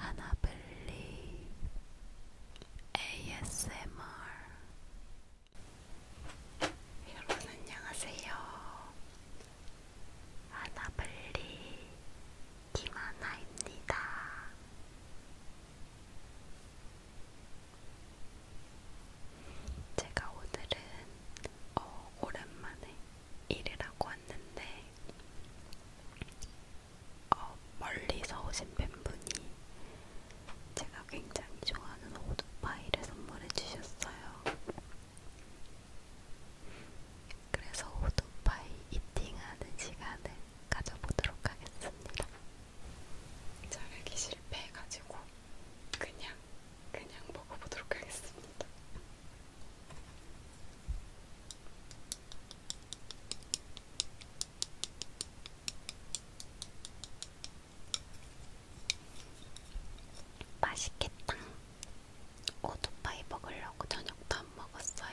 And I believe ASMR. 여러분 안녕하세요. 아나블리 김하나입니다. 제가 오늘은 어, 오랜만에 일을 하고 왔는데 어, 멀리서 오신 팬분이 제가 굉장히 좋아하는 오토파이를 선물해 주셨어요. 그래서 오토파이 이팅하는 시간을 가져보도록 하겠습니다. 자르기 실패해가지고 그냥 그냥 먹어보도록 하겠습니다. 맛있겠다. 오토파이 먹으려고 저녁도 안 먹었어요.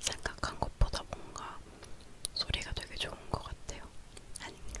생각한 것보다 뭔가 소리가 되게 좋은 것 같아요. 아닌가?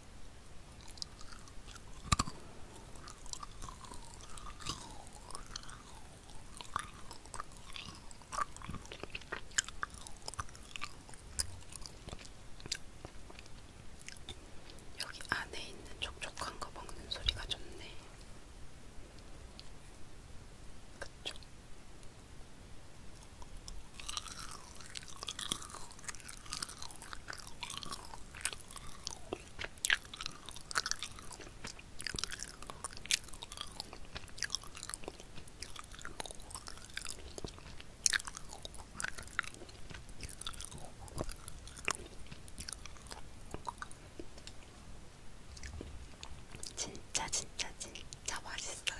여기 안에 있는 촉촉한 거 먹는 소리가 좋네. 그쵸? 진짜 진짜 진짜 맛있어요.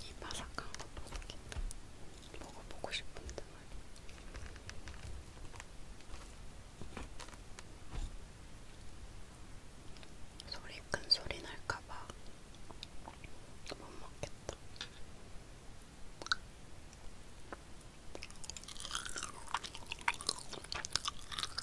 이 바삭한 거 먹어보고 싶은데 소리 큰 소리 날까봐 못 먹겠다.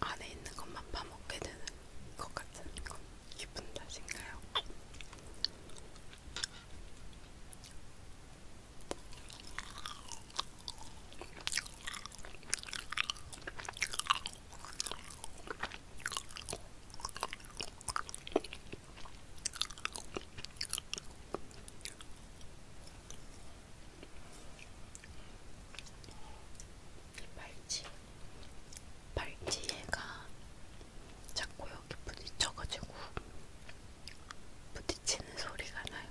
안에 있는 것만 파먹게 되는 것 같은 건 기분 탓인가요? 발찌 발찌가 자꾸 여기 부딪혀가지고 부딪히는 소리가 나요.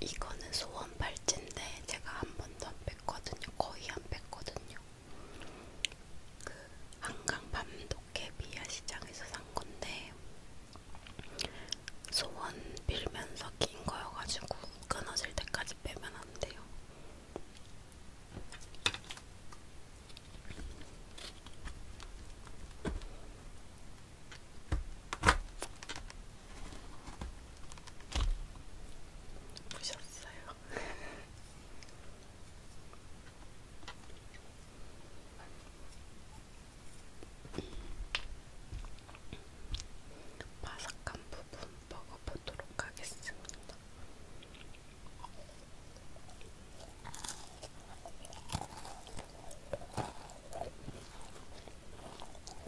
이거는 소원 팔찌인데 제가 한 번도 안 뺐거든요. 거의 안 뺐거든요. 그 한강 밤도깨 미아 시장에서 산 건데 소원 빌면서 낀 거여가지고 끊어질 때까지 빼면 안 돼요. 보셨어요? 바삭한 부분 먹어보도록 하겠습니다.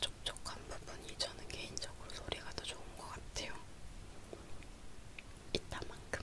촉촉한 부분이 저는 개인적으로 소리가 더 좋은 것 같아요. 이따만큼.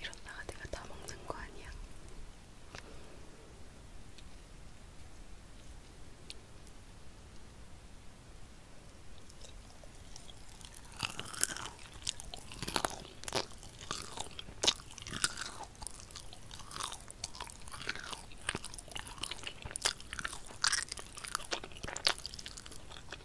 이러다가 내가 다 먹는 거 아니야?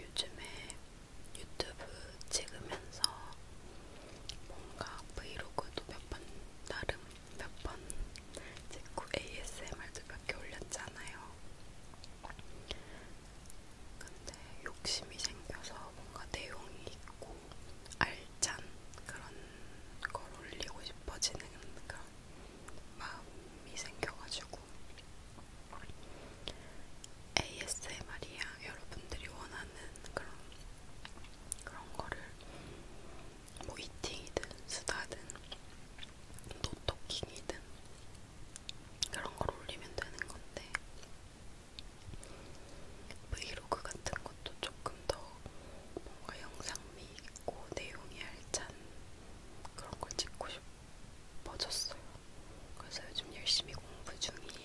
요즘에 유튜브 찍으면서 뭔가 브이로그도 몇 번 나름 몇번 제꾸 ASMR도 몇개 올렸잖아요. 근데 욕심이 생겨서 뭔가 내용이 있고 알찬 그런 걸 올리고 싶어지는 그런 마음이 생겨가지고 ASMR이야 여러분들이 원하는 그런 그런 거를 뭐 이팅이든 수다든 노토킹이든 그런 걸 올리면 되는 건데 브이로그 같은 것도 조금 더 뭔가 영상미 있고 내용이 알찬 그런 걸 찍고 싶어졌어요. 그래서 요즘 열심히 공부 중이에요.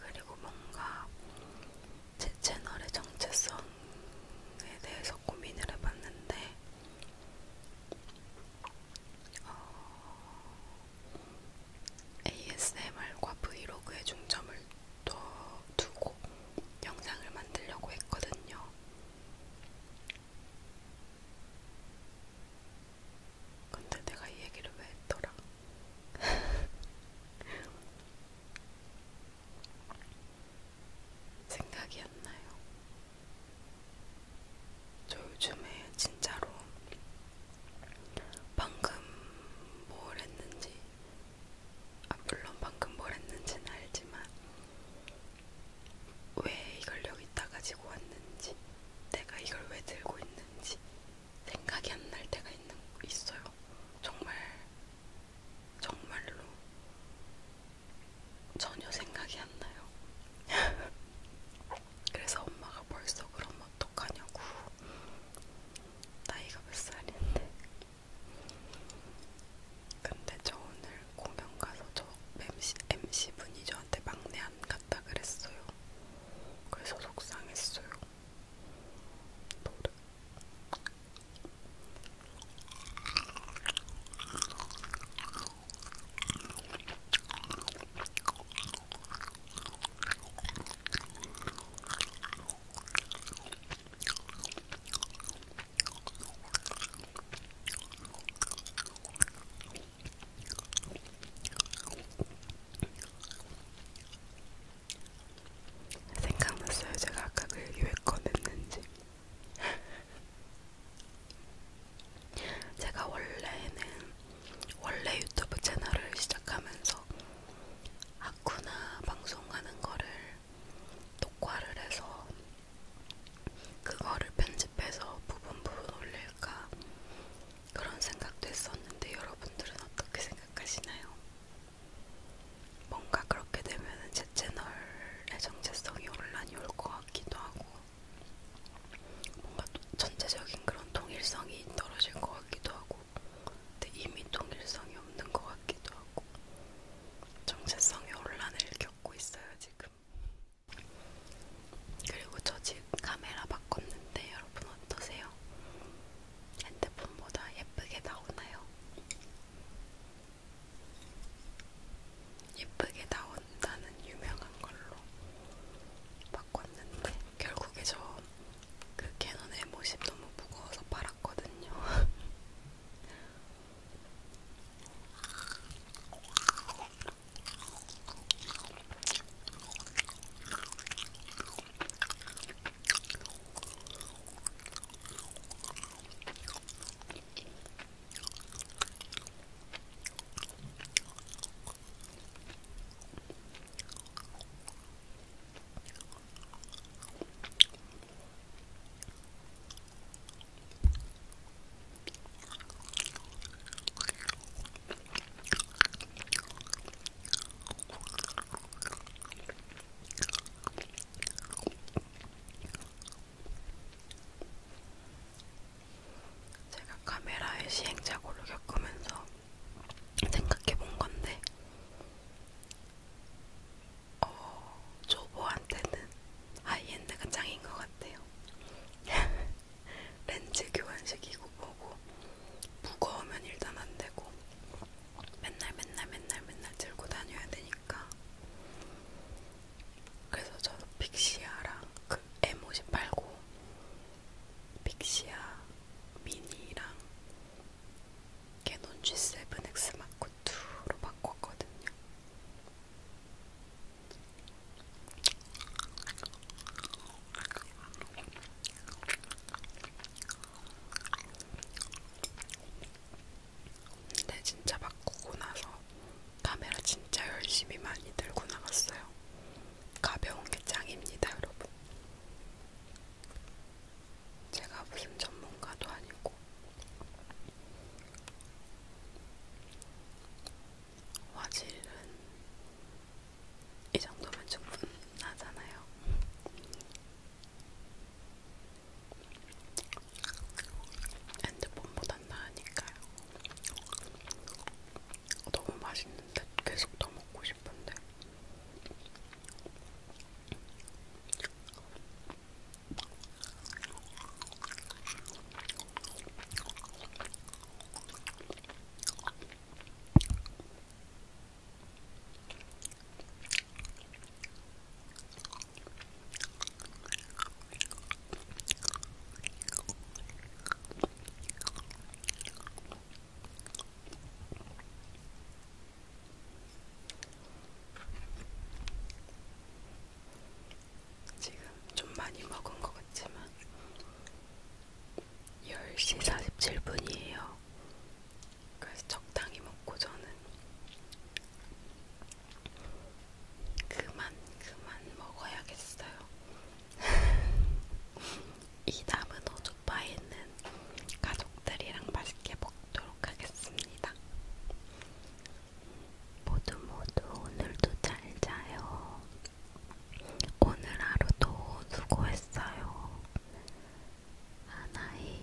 그리고 뭔가 제 채널의 정체성에 대해서 고민을 해봤는데, 어, ASMR과 브이로그에 중점을 더 두고 영상을 만들려고 했거든요. 근데 내가 이 얘기를 왜 했더라? 생각이 안 나요. 저 요즘에 진짜로 방금 뭘 했는지, 아, 물론 방금 뭘 했는지는 알지만, 왜 이걸 여기다 가지고 왔는지, 내가 이걸 왜 들고 있는지 생각이 안 날 때가 있는, 있어요. 정말, 정말로 전혀 생각이 안 나요. 그래서 엄마가 벌써 그럼 어떡하냐고 나이가 몇 살인데 근데 저 오늘 공연 가서 저 MC, MC분이 저한테 막내 안 갔다 그랬어요 그래서 속상했어요 노래 생각났어요. 제가 아까 그 얘기 왜 꺼냈는지. 제가 원래는 원래 유튜브 채널을 시작하면서 아쿠나 방송하는 거를 녹화를 해서 그거를 편집해서 부분 부분 올릴까 그런 생각도 했었는데 여러분들은 어떻게 생각하시나요? 뭔가 그렇게 되면 제 채널의 정체성이 혼란이 올 것 같기도 하고 뭔가 전체적인 그런 통일성이 떨어질 것 같기도 하고, 근데 이미 통일성이 없는 것 같기도 하고, 정체성의 혼란을 겪고 있어요 지금. 그리고 저 지금 카메라 바꿨는데 여러분 어떠세요? 핸드폰보다 예쁘게 나오나요? 예쁘게 나온다는 유명한 걸로 바꿨는데 결국에 저 그 캐논 M50 너무 무거워서 팔았거든요. 제가 카메라의 시행착오를 겪으면서 생각해 본 건데, 어, 초보한테는 하이엔드가 짱인 것 같아요. 렌즈 교환식이고 뭐고, 무거우면 일단 안 되고, 맨날 맨날 맨날 맨날 들고 다녀야 되니까. 그래서 저도 픽시아랑 그 M58고 빅시아 미니랑 캐논 G7X 마크2로 바꿨거든요. 근데 진짜 바꾸고 나서 카메라 진짜 열심히 많이 들고 나갔어요. 가벼운 게 짱입니다, 여러분. 제가 무슨 전문가도 아니고 화질은 이 정도면 충분하잖아요. 핸드폰보단 나으니까요. 너무 맛있는데 계속 더 먹고 싶은데 지금 좀 많이 먹은 것 같지만 10시 47분이에요. 그래서 적당히 먹고 저는 그만 그만 먹어야겠어요. 이 남은 오조바에는 가족들이랑 맛있게 먹도록 하겠습니다. 모두 모두 오늘도 잘 자요. 오늘 하루도 수고했어요. 하나이.